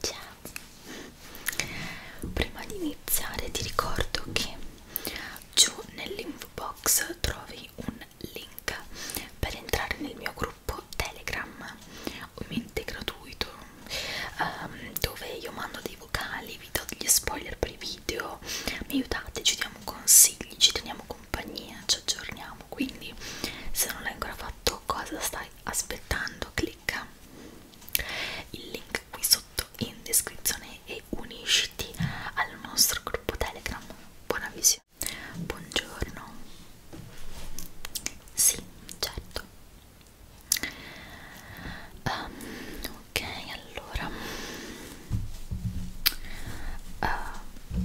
Ciao! Prima di iniziare ti ricordo che giù nell'info box trovi un link per entrare nel mio gruppo Telegram, ovviamente gratuito, um, dove io mando dei vocali, vi do degli spoiler per i video, mi aiutate, ci diamo consigli, ci teniamo compagnia, ci aggiorniamo, quindi se non l'hai ancora fatto cosa stai aspettando clicca il link qui sotto in descrizione e unisciti al nostro gruppo telegram buona visione buongiorno sì certo um, ok allora uh,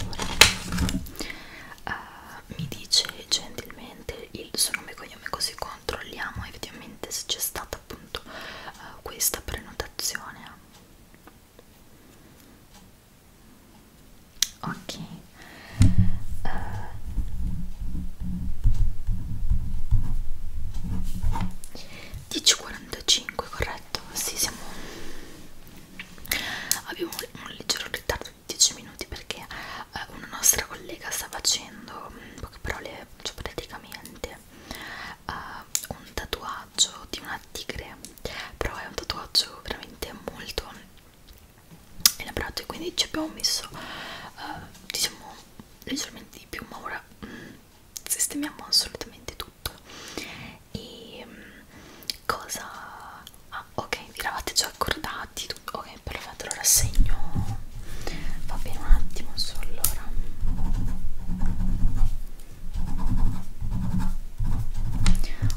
allora uh, mi dice gentilmente il suo nome e cognome così controlliamo effettivamente se c'è stata appunto uh, questa prenotazione ok uh, Dici 45, corretto? Sì, siamo abbiamo un leggero ritardo di 10 minuti perché eh, una nostra collega sta facendo in mm, poche parole cioè praticamente eh, un tatuaggio di una tigre però è un tatuaggio veramente molto elaborato e quindi ci abbiamo messo eh, diciamo leggermente di più ma ora mh, mm, sistemiamo assolutamente tutto e mm, cosa ah ok vi eravate già accordati tutto. ok perfetto allora segno va bene un attimo su allora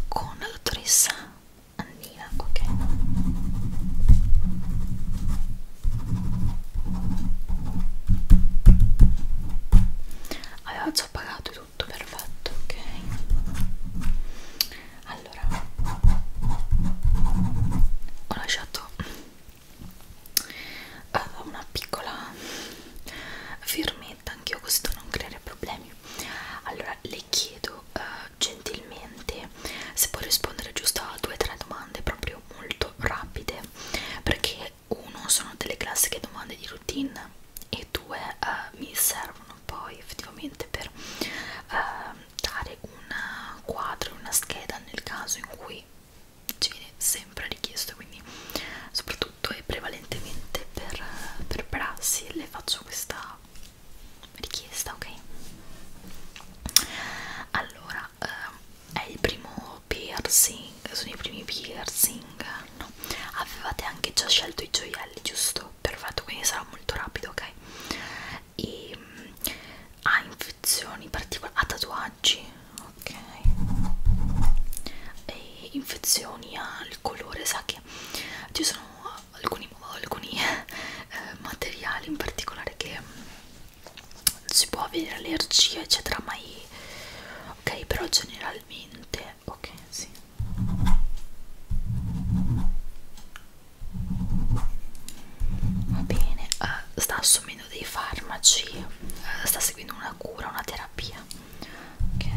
con la dottoressa Annina ok aveva già pagato tutto perfetto ok allora ho lasciato uh, una piccola firmetta anch'io così da non creare problemi allora le chiedo uh, gentilmente se può rispondere giusto a due o tre domande proprio molto rapide perché uno sono delle classiche domande di routine e due uh, mi servono poi effettivamente per uh, dare un quadro, una scheda nel caso in cui ci viene sempre richiesto quindi soprattutto e prevalentemente per, per prassi le faccio questa richiesta ok allora uh, è il primo piercing, sono i primi piercing, no? Avevate anche già scelto i gioielli, giusto? Perfetto, quindi sarà molto rapido, ok? E mm, ha infezioni particolari, ha tatuaggi, ok? E infezioni al colore, sa che ci sono alcuni, alcuni eh, materiali in particolare che mm, si può avere allergia eccetera ma ok però generalmente ok sì va bene uh, sta assumendo dei farmaci uh, sta seguendo una cura una terapia ok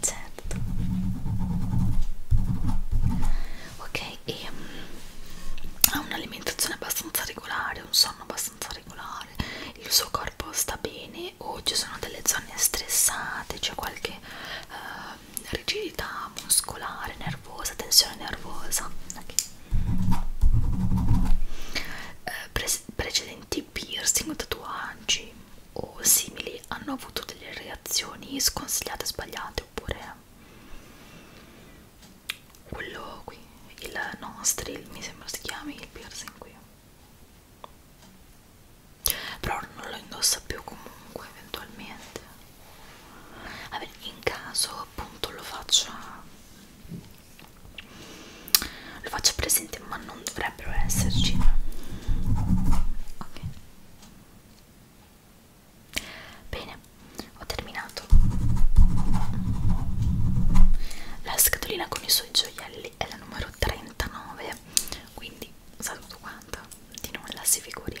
certo ok e mm, ha un'alimentazione abbastanza regolare un sonno sonno abbastanza regolare, il suo corpo sta bene o ci sono delle zone stressate, c'è cioè qualche eh, rigidità muscolare, nervosa, tensione nervosa. Okay. Eh, pre precedenti piercing, tatuaggi o simili hanno avuto delle reazioni sconsigliate, sbagliate oppure quello qui, il nostril mi sembra si chiami, il piercing qui però non lo indossa più comunque eventualmente Vabbè, in caso appunto lo faccia lo faccio presente ma non dovrebbero esserci ok Bene, ho terminato. La scatolina con i suoi gioielli è la numero 39, quindi sa tutto quanto, di nulla si figuri.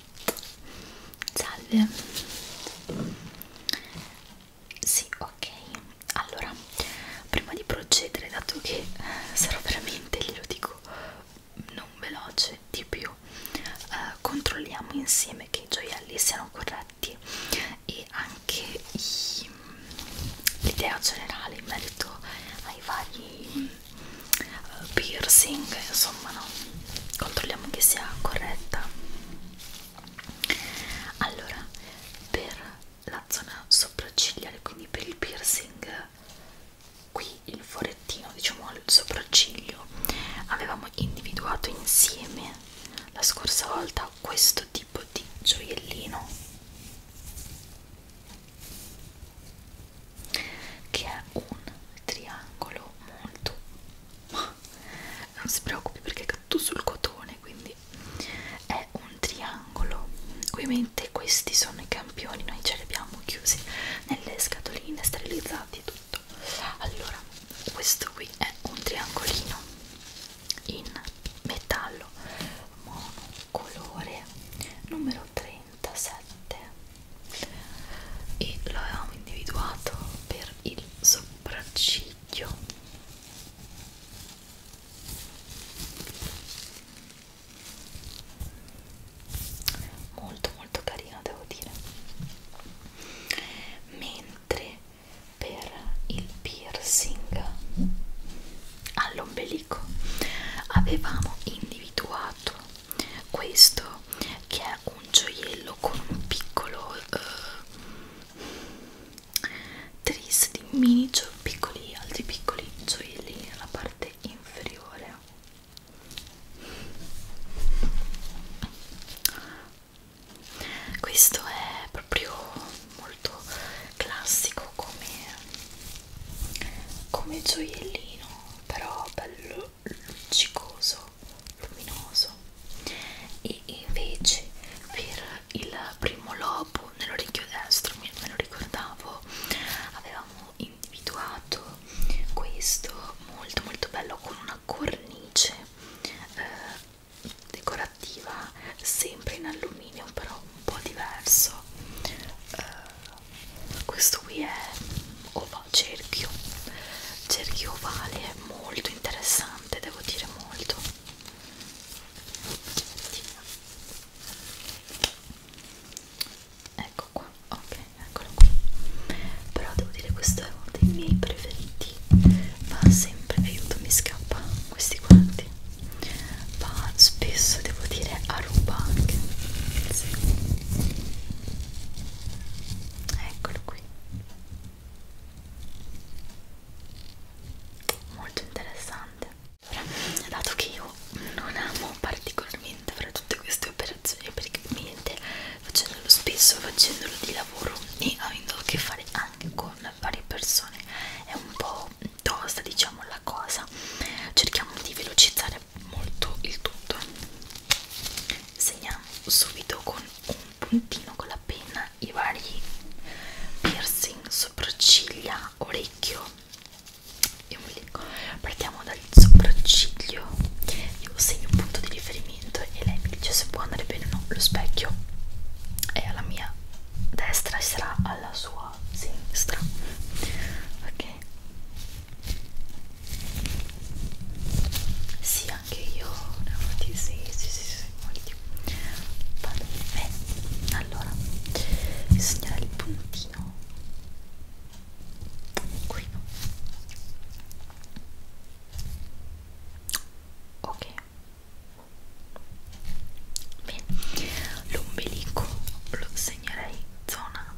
salve sì ok allora prima di procedere dato che sarò veramente glielo dico non veloce di più eh, controlliamo insieme che i gioielli siano corretti e anche l'idea generale in merito ai vari uh, piercing, insomma no, controlliamo che sia corretta. Allora, per la zona sopraccigliare, quindi per il piercing, qui il forettino, diciamo al sopracciglio, avevamo individuato insieme la scorsa volta questo tipo di gioiellino che è un triangolo molto ma non si preoccupi perché è tutto sul cotone quindi è un triangolo ovviamente questi sono i campioni noi ce li abbiamo chiusi nelle scatoline sterilizzati e tutto allora questo qui è un triangolino in metallo monocolore numero 30 47 e lo avevamo individuato per il sopracciglio molto molto carino devo dire mentre per il piercing all'ombelico avevamo individuato questo che è un gioiello con un piccolo eh, tris di mini piccoli altri piccoli gioielli nella parte inferiore questo è proprio molto classico come come gioiellino però bello luccicoso luminoso e invece per il primo lobo nell'orecchio destro me lo ricordavo avevamo individuato questo molto molto bello con una cornice eh, decorativa sempre in alluminio però un po' diverso eh, questo qui è ova, cerchio cerchio ovale è molto interessante devo dire molto ecco qua ok eccolo qui però devo dire questo è uno dei miei preferiti ma sempre aiuto mi scappa questi guanti ma spesso devo dire Aruba anche sì. eccolo qui molto interessante allora, dato che io non amo particolarmente fare tutte queste operazioni perché niente facendolo spesso facendolo di lavoro e avendo a che fare anche con varie persone è un po' mh, tosta diciamo la cosa cerchiamo di velocizzare molto il tutto segniamo subito con un puntino con la penna i vari piercing sopracciglia orecchio io vi dico partiamo dal sopracciglio io segno un punto di riferimento e lei mi dice se può andare bene o no lo specchio è alla mia destra e sarà alla sua sinistra ok sì anche io ne ho fatti sì sì sì, sì molti vado bene allora bisognerà il puntino qui no ok Bene, l'ombelico lo segnerei zona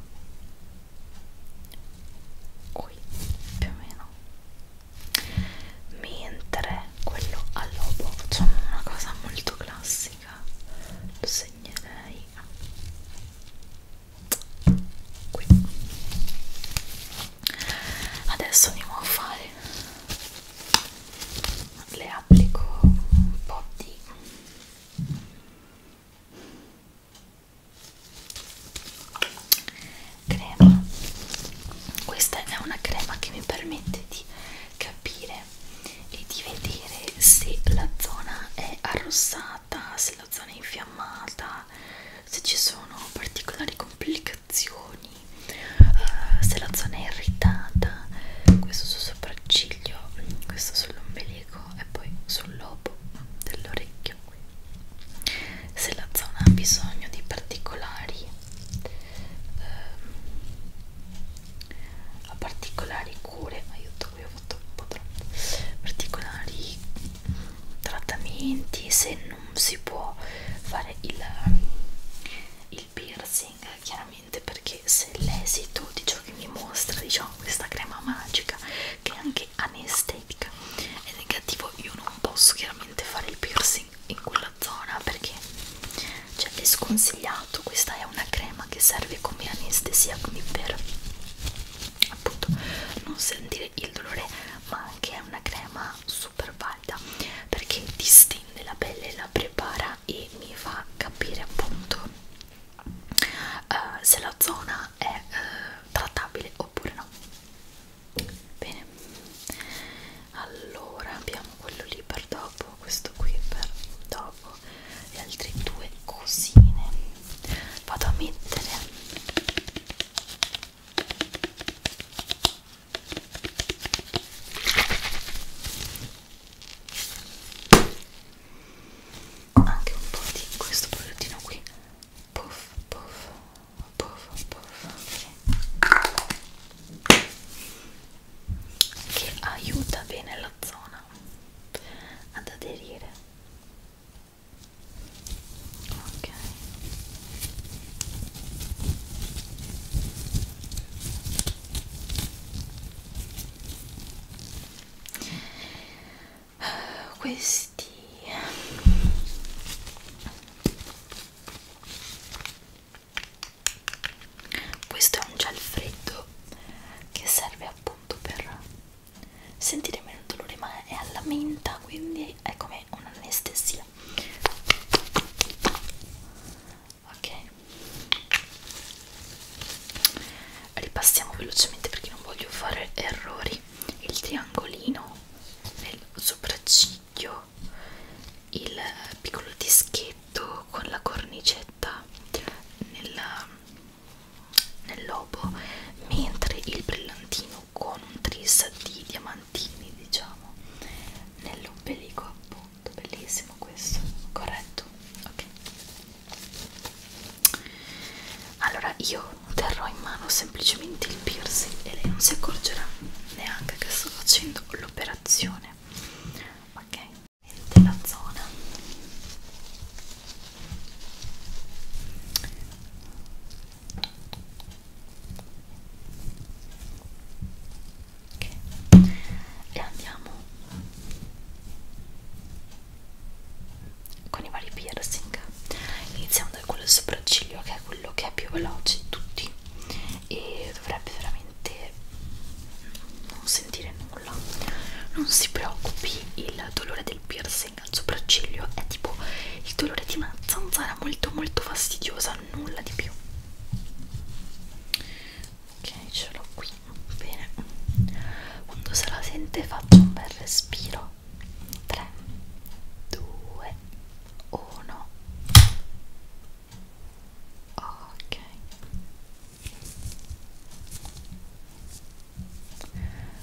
qui più o meno mentre quello al lobo facciamo una cosa molto classica lo segnerei qui adesso andiamo a fare le applico un po' di crema questa è una crema che mi permette di capire e di vedere se la zona è arrossata se la zona è infiammata se ci sono particolari complicazioni uh, se la zona è irritata questo sopracciglio, questo sull'ombelico e poi sul lobo dell'orecchio. Se la zona ha bisogno di particolari, eh, particolari cure, aiuto qui ho fatto un po' troppo, particolari trattamenti, se non si può fare il, il piercing, chiaramente veramente perché se l'esito di ciò che mi mostra diciamo questa crema magica che è anche anestetica è negativo io non posso chiaramente fare il piercing in quella zona perché cioè, è sconsigliato questa è una crema che serve come anestesia quindi per appunto non sentire il dolore ma anche è una crema super valida perché distingue della pelle la prepara e mi fa capire appunto uh, se la zona è uh, trattabile oppure no bene allora abbiamo quello lì per dopo questo qui per dopo le altre due cosine vado a mettere anche un po' di questo prodottino qui puff puff puff puff okay. che aiuta bene la zona ad aderire ok questi questo è un gel freddo che serve appunto per sentire meno dolore ma è alla menta quindi è come un'anestesia ok ripassiamo velocemente perché non voglio fare errori il triangolino nel sopracciglio il piccolo dischetto con la cornicetta nel, nel lobo mentre il brillantino con un tris di diamanti diamantini diciamo nell'ombelico appunto bellissimo questo corretto ok allora io terrò in mano semplicemente il piercing e lei non si accorgerà neanche che sto facendo l'operazione ok della zona ok e andiamo con i vari piercing iniziamo da quello sopracciglio che è quello che è più veloce di tutti e dovrebbe veramente non sentire nulla non si preoccupi il dolore del piercing al sopracciglio è tipo il dolore di una zanzara molto molto fastidiosa nulla di più ok ce l'ho qui bene quando se la sente faccio un bel respiro 3 2 1 ok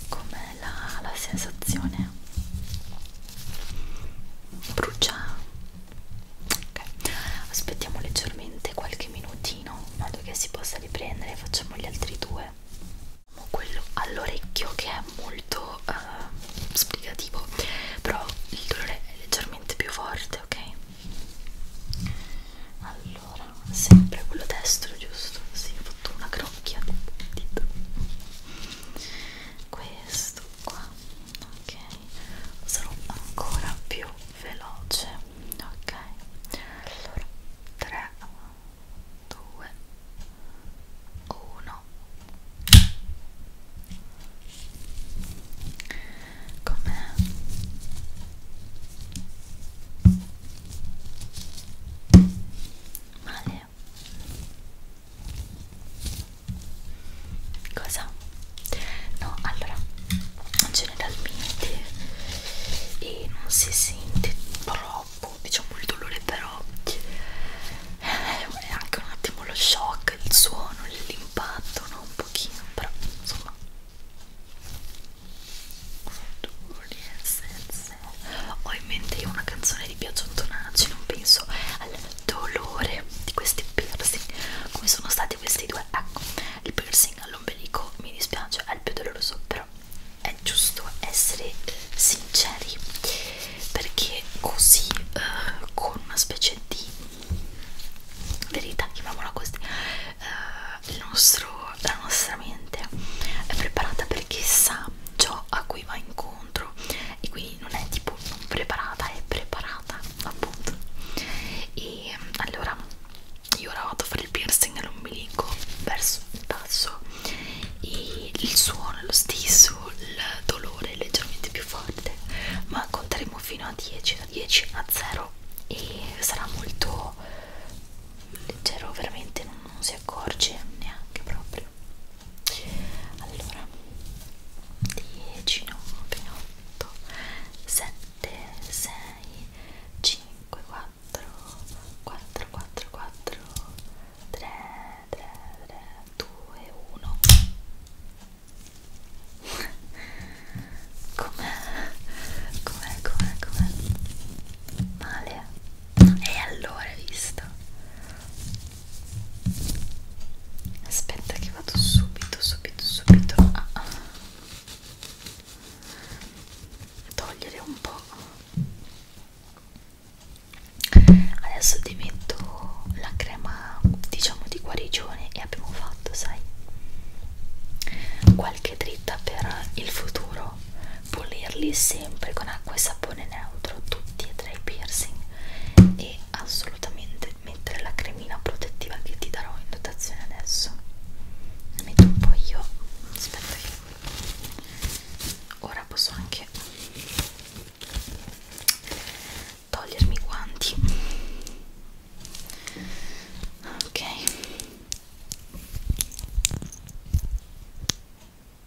com'è la, la sensazione brucia ok aspettiamo leggermente qualche minutino in modo che si possa riprendere facciamo gli altri due quello all'orecchio che è molto uh, spiegativo però il dolore è leggermente più forte ok allora sempre quello destro giusto si sì, ho fatto una crocchia dito questo qua ok sarò ancora più veloce ok allora 3 2 1 com'è? male? me cosa? no allora generalmente e non si sente troppo diciamo il dolore però eh, è anche un attimo lo shock il suono l'impatto no un pochino però insomma ho in mente una canzone di piazzottonacci, non penso al dolore di questi piercing come sono stati questi due ecco il piercing all'ombelico mi dispiace è il più doloroso però è giusto essere sinceri perché così eh, con una specie di verità chiamiamola così eh, il nostro, la nostra mente è preparata perché sa ciò a cui va incontro e quindi non è tipo non preparata, è preparata appunto. E allora io ora vado a fare il piercing nell'ombelico verso il tasso e il suono è lo stesso, il dolore è leggermente più forte, ma conteremo fino a 10, da 10 a 0 e sarà molto leggero, veramente non, non si accorge neanche proprio allora 10 9 8 7 6 5 4 4 4 4 3 3 3 2 1 com'è com'è com'è com'è male e allora hai visto aspetta che vado subito subito subito a togliere un po' adesso ti metto la crema diciamo di guarigione e abbiamo fatto sai qualche dritta per il futuro pulirli sempre con acqua e sapone neutro tutti e tre i piercing e assolutamente mettere la cremina protettiva che ti darò in dotazione adesso ne metto un po' io aspetta che ora posso anche togliermi i guanti ok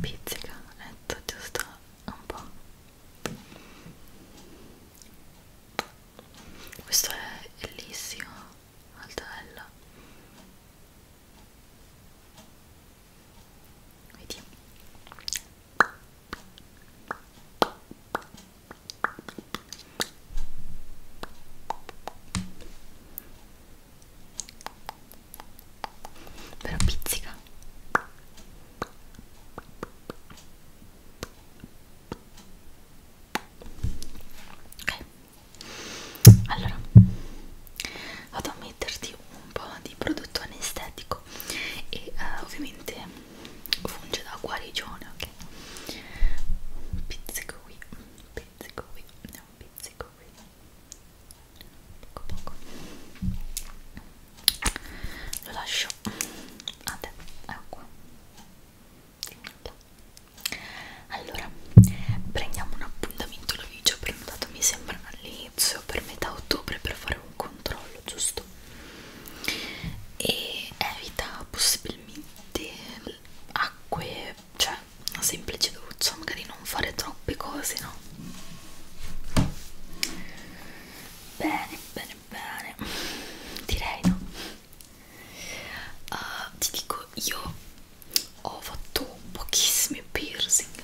pizzica letto giusto un po' questo è bellissimo molto bello vedi però pizzica ok allora vado a metterti un po' di prodotto anestetico e uh, ovviamente funge da guarigione ok pizzico qui pizzico qui un pizzico qui poco poco lo lascio a te acqua allora prendiamo un appuntamento il video prenotato mi sembra all'inizio per metà ottobre per fare un controllo giusto e evita possibilmente acque cioè una semplice doccia magari non fare troppe cose no bene bene bene direi no uh, ti dico io ho fatto pochissimi piercing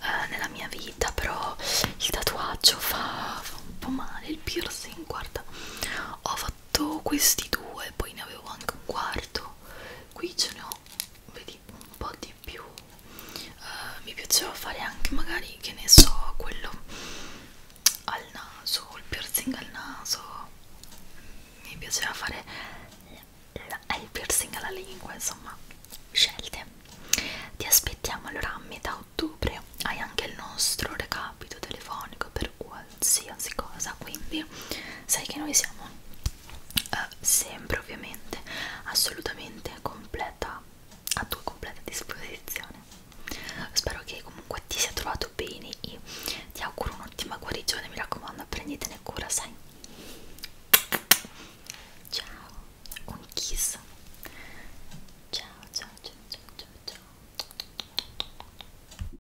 uh, nella mia vita però il tatuaggio fa, fa un po' male il piercing guarda ho fatto questi due poi ne avevo anche un quarto qui ce ne ho vedi un po' di più uh, mi piaceva fare anche magari che ne so quello al naso il piercing al naso mi piaceva fare eh, il piercing alla lingua insomma scelte ti aspettiamo allora a metà ottobre hai anche il nostro recapito telefonico per qualsiasi qualsiasi cosa quindi sai che noi siamo eh, sempre ovviamente assolutamente completa a tua completa disposizione spero che comunque ti sia trovato bene e ti auguro un'ottima guarigione mi raccomando prenditene cura sai ciao un kiss ciao ciao ciao ciao ciao ciao